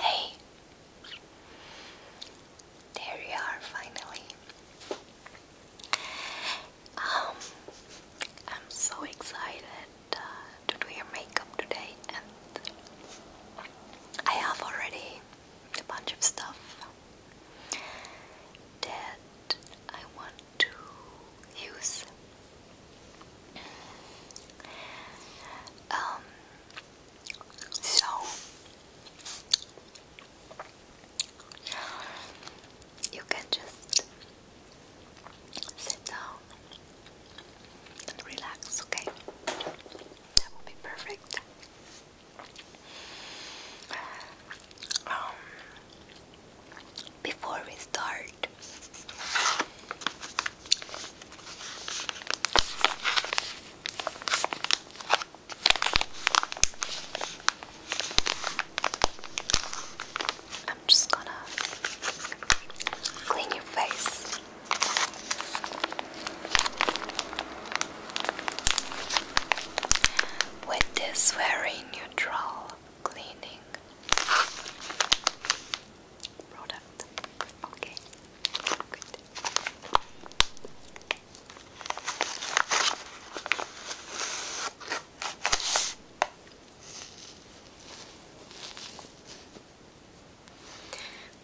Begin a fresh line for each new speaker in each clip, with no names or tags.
Hey, there you are finally. Um, I'm so excited uh, to do your makeup today, and I have already a bunch of stuff that I want to use um, so you can just sit down and relax, okay? That will be perfect. Um, before we start, I'm just gonna clean your face. With this very neutral cleaning, product. Okay, good.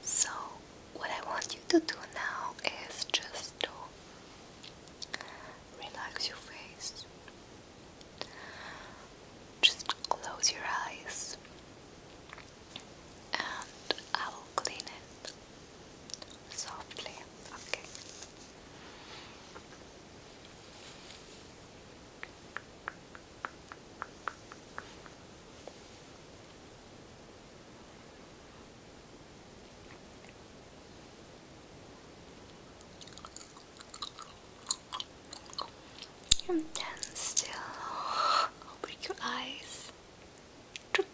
So, what I want you to do now is just to relax your face just close your eyes and I will clean it softly. Okay. You're still. Open your eyes. Chook.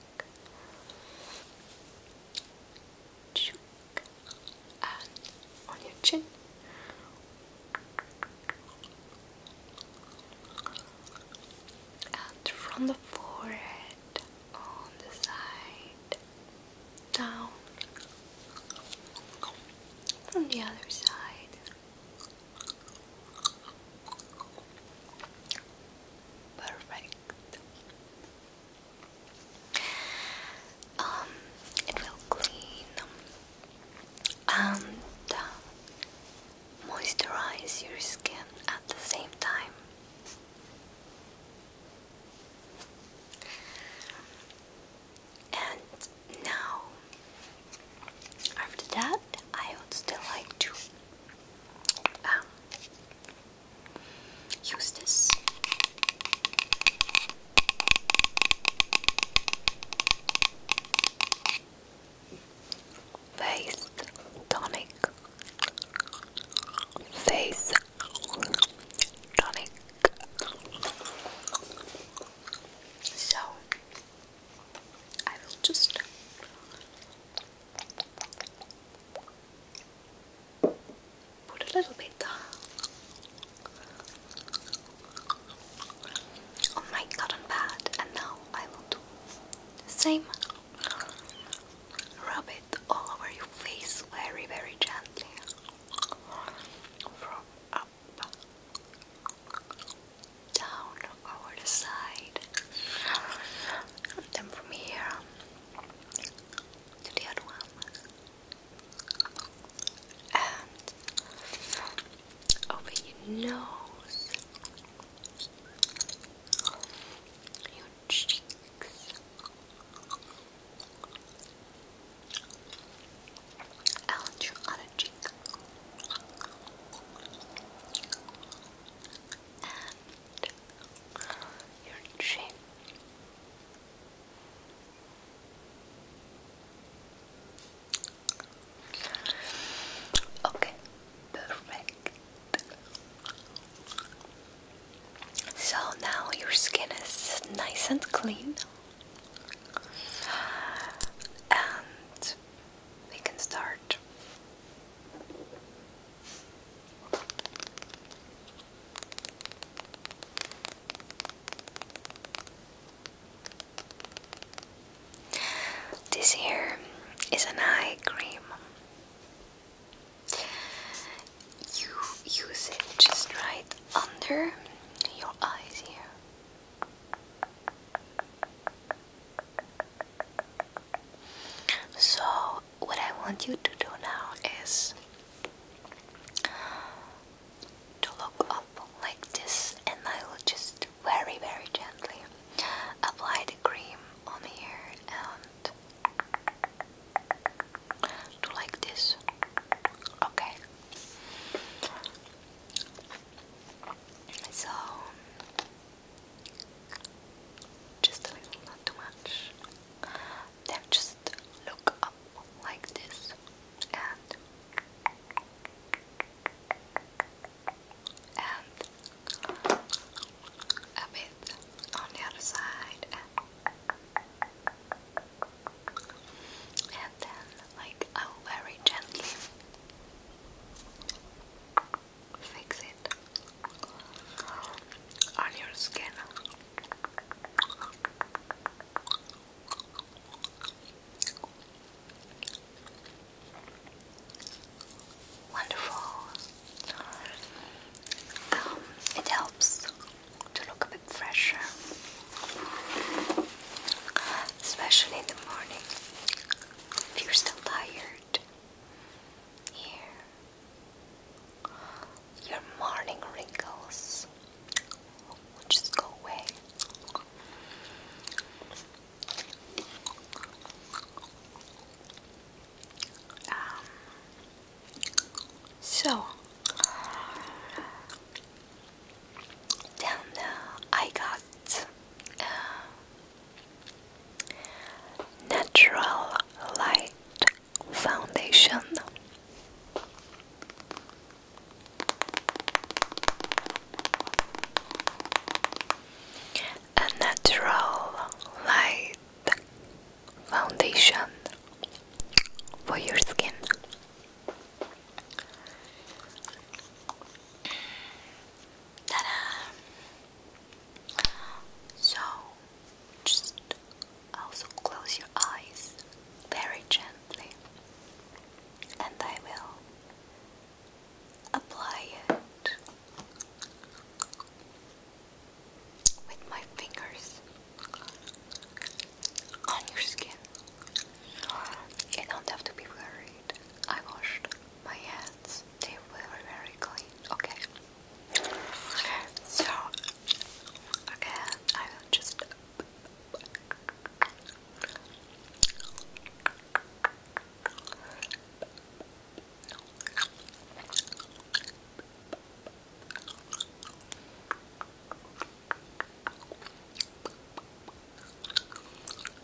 Chook. And on your chin. And from the forehead on the side down from the other side Perfect. Um, it will clean and um, moisturize your skin at the same time. And now, after that, I would still like to um, use this. Face tonic, face tonic. So, I will just put a little bit on my cotton pad, and now I will do same. Rub it all over your face very, very gently from down, over the side, and then from here to the other one, and over your nose, your cheeks out on a cheek. And your chin. Okay, perfect. So now your skin is nice and clean, and we can start. This here is an eye cream. You use it just right under your eyes here. So, what I want you to do now is to look up like this, and I will just very, very gently apply the cream on here and do like this. Okay. So, just a little, not too much. Then just look up like this and a bit on the other side and then like I'll very gently fix it on your skin. Wonderful. Um, it helps to look a bit fresher especially in the morning if you're still tired. Here, your morning wrinkles will just go away. Um, so, then uh, I got uh, natural light foundation. A natural light foundation for your skin. Ta-da! So, just also close your eyes very gently, and I will apply it with my fingers on your skin. You don't have to be worried. I washed my hands, they were very clean. Okay. So, again, I just.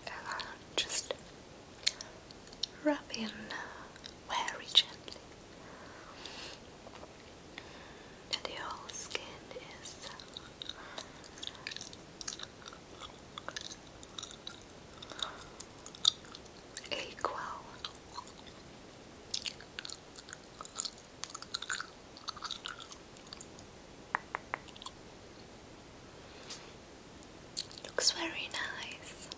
Uh, just rub in uh, very gently that your whole skin is uh, equal. Looks very nice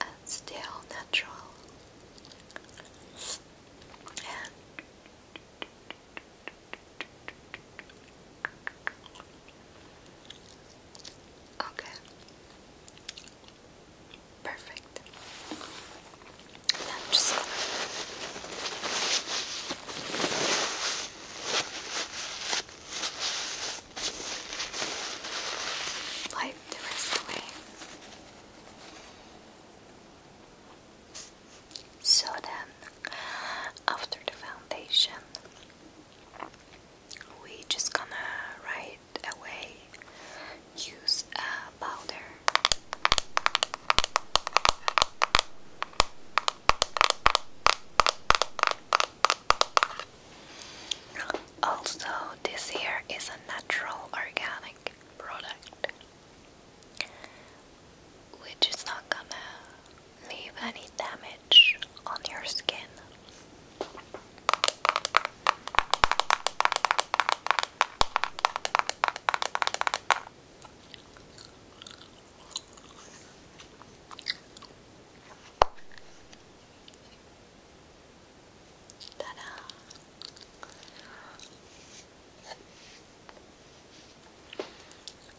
and still natural and Okay. Perfect. just Wipe the rest away. So then, after the foundation, we just gonna right away use a powder. Also, this here is a natural organic product, which is not gonna leave any damage on your skin. Ta-da!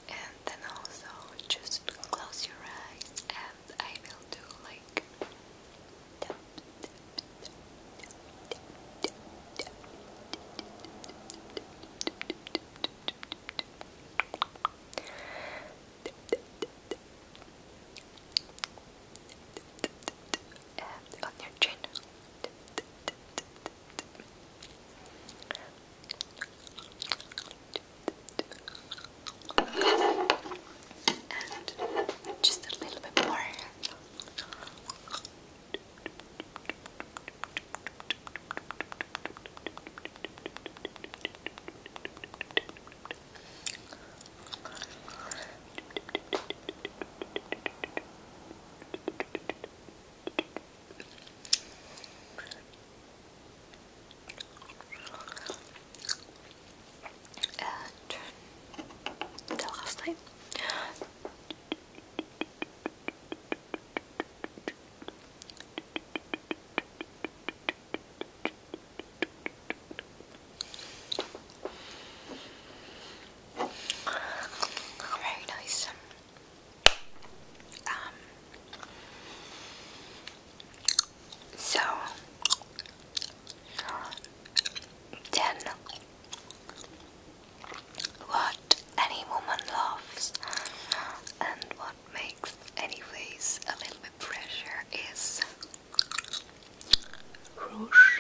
And then also just close your eyes and I will do like and on your chin. And just a little bit more. And the last time very nice. Um. So then what any woman loves and what makes any face a little bit pressure is rouge.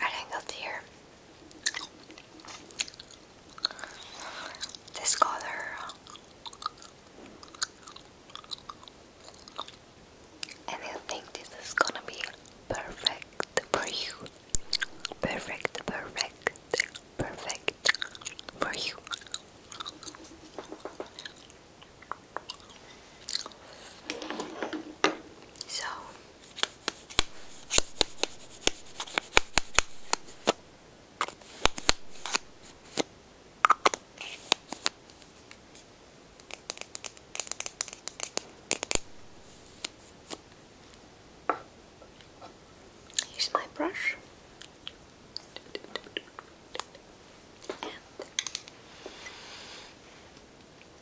I angled here. This color and I think this is gonna be perfect for you. Perfect, perfect, perfect for you. So Here's my brush.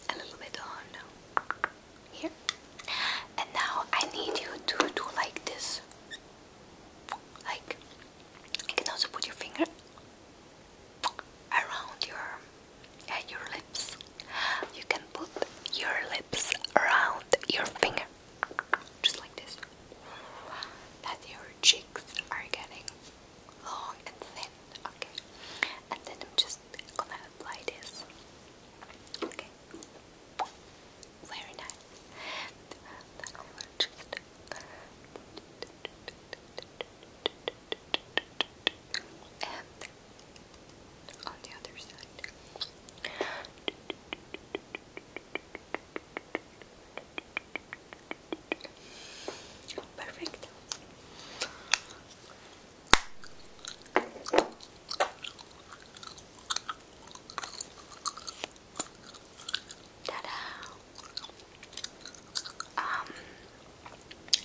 And a little bit on here. And now I need you to do like this. Like, you can also put your finger around your eh, your lips. You can put your lips around your finger, just like this. That your cheeks are getting long and thin. Okay, and then I'm just gonna apply this. Okay, very nice and on the other side. Perfect. Ta-da! Um,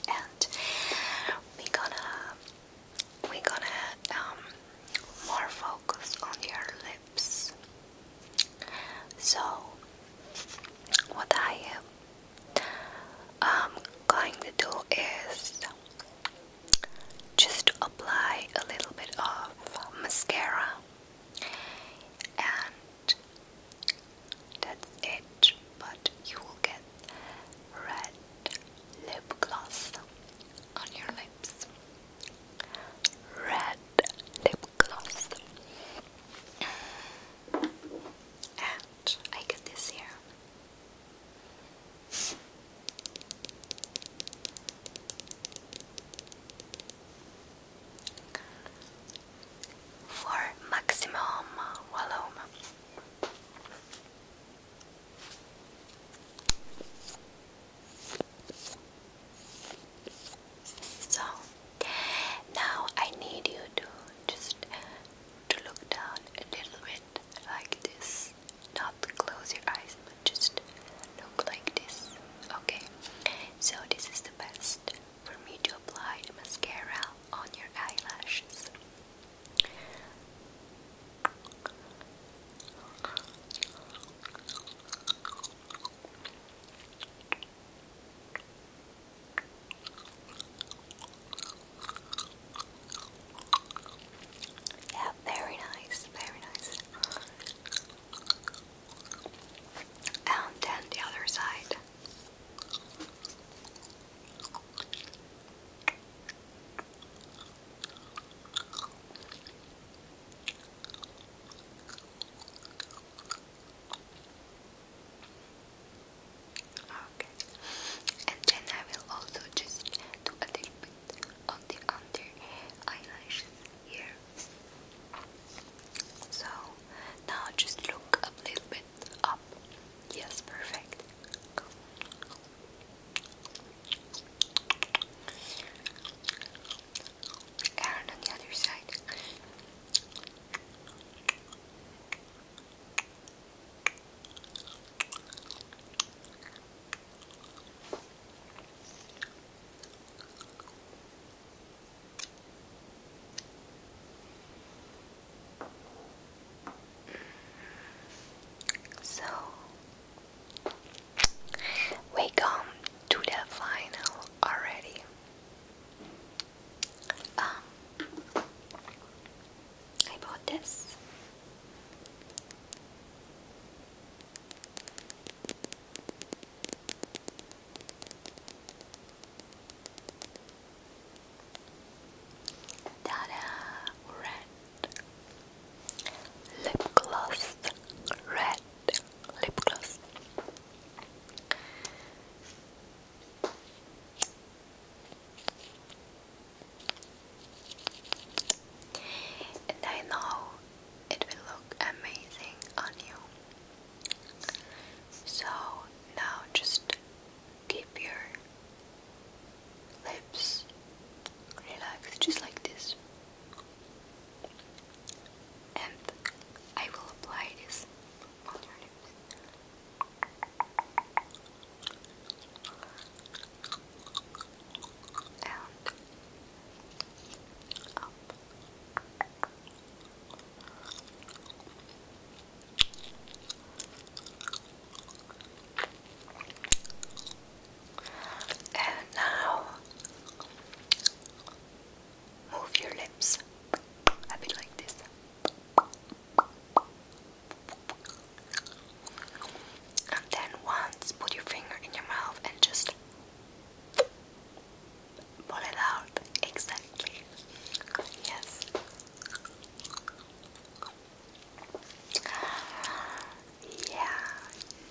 and we're gonna we gonna um, more focus on your lips. So what I am um, going to do is just apply a little bit of mascara and that's it, but you will get red lip gloss on your lips. Red lip gloss. And I get this here. For maximum volume, so now I need you to just to look down a little bit like this. Not close your eyes, but just look like this. Okay. So this is the best for me to apply mascara on your eyelashes. Yeah, very nice, very nice. And then the other side. Okay, and then I will also just do a little bit on the under eyelashes here. So now just look a little bit up. Yes, perfect. And on the other side. So we come to the final already. Um, I bought this. Dada Red Lip Gloss Red Lip Gloss and I know it will look amazing on you. So now just keep your lips relaxed, just like this. And I will apply this on your lips. And up. And now move your lips a bit like this. And then once put your finger in your mouth and just pull it out exactly. Yes. Yeah,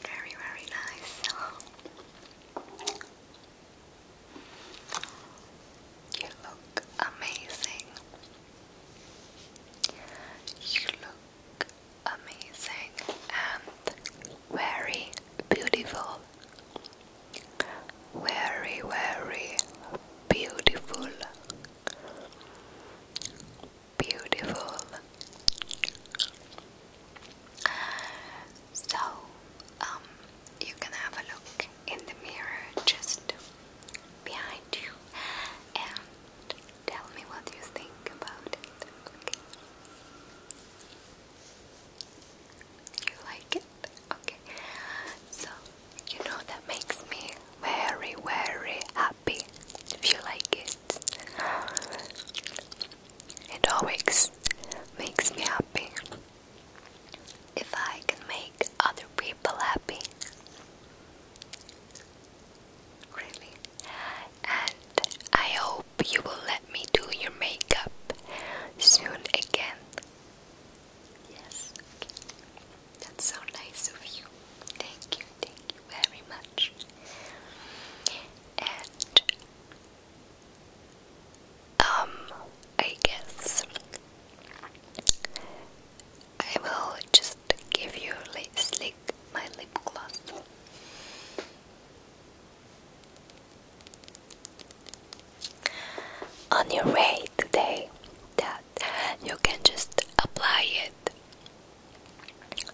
very, very nice. You look amazing. You look amazing and very beautiful very, very beautiful, beautiful. So, um, you can have a look in the mirror just behind you and tell me what you think about it. You like it? Okay, so you know that makes me very, very happy if you like it. It always makes me happy if I can make other people happy. Really, and I hope you will let me do your makeup soon again. Yes. That's so nice of you. Thank you, thank you very much. And um I guess I will just give you my lip gloss. On your way today, the you can just apply it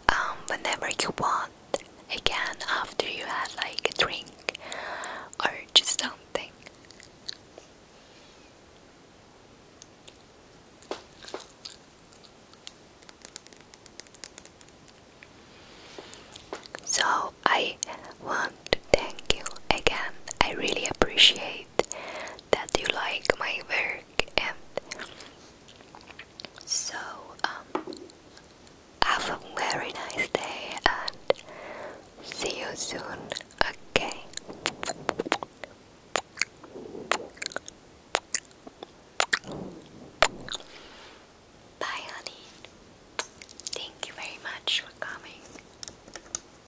um, whenever you want again after you had like a drink or just something so I want to thank you again. I really appreciate that you like my work and so um, have a very nice day and see you soon okay Bye honey. Thank you very much for coming.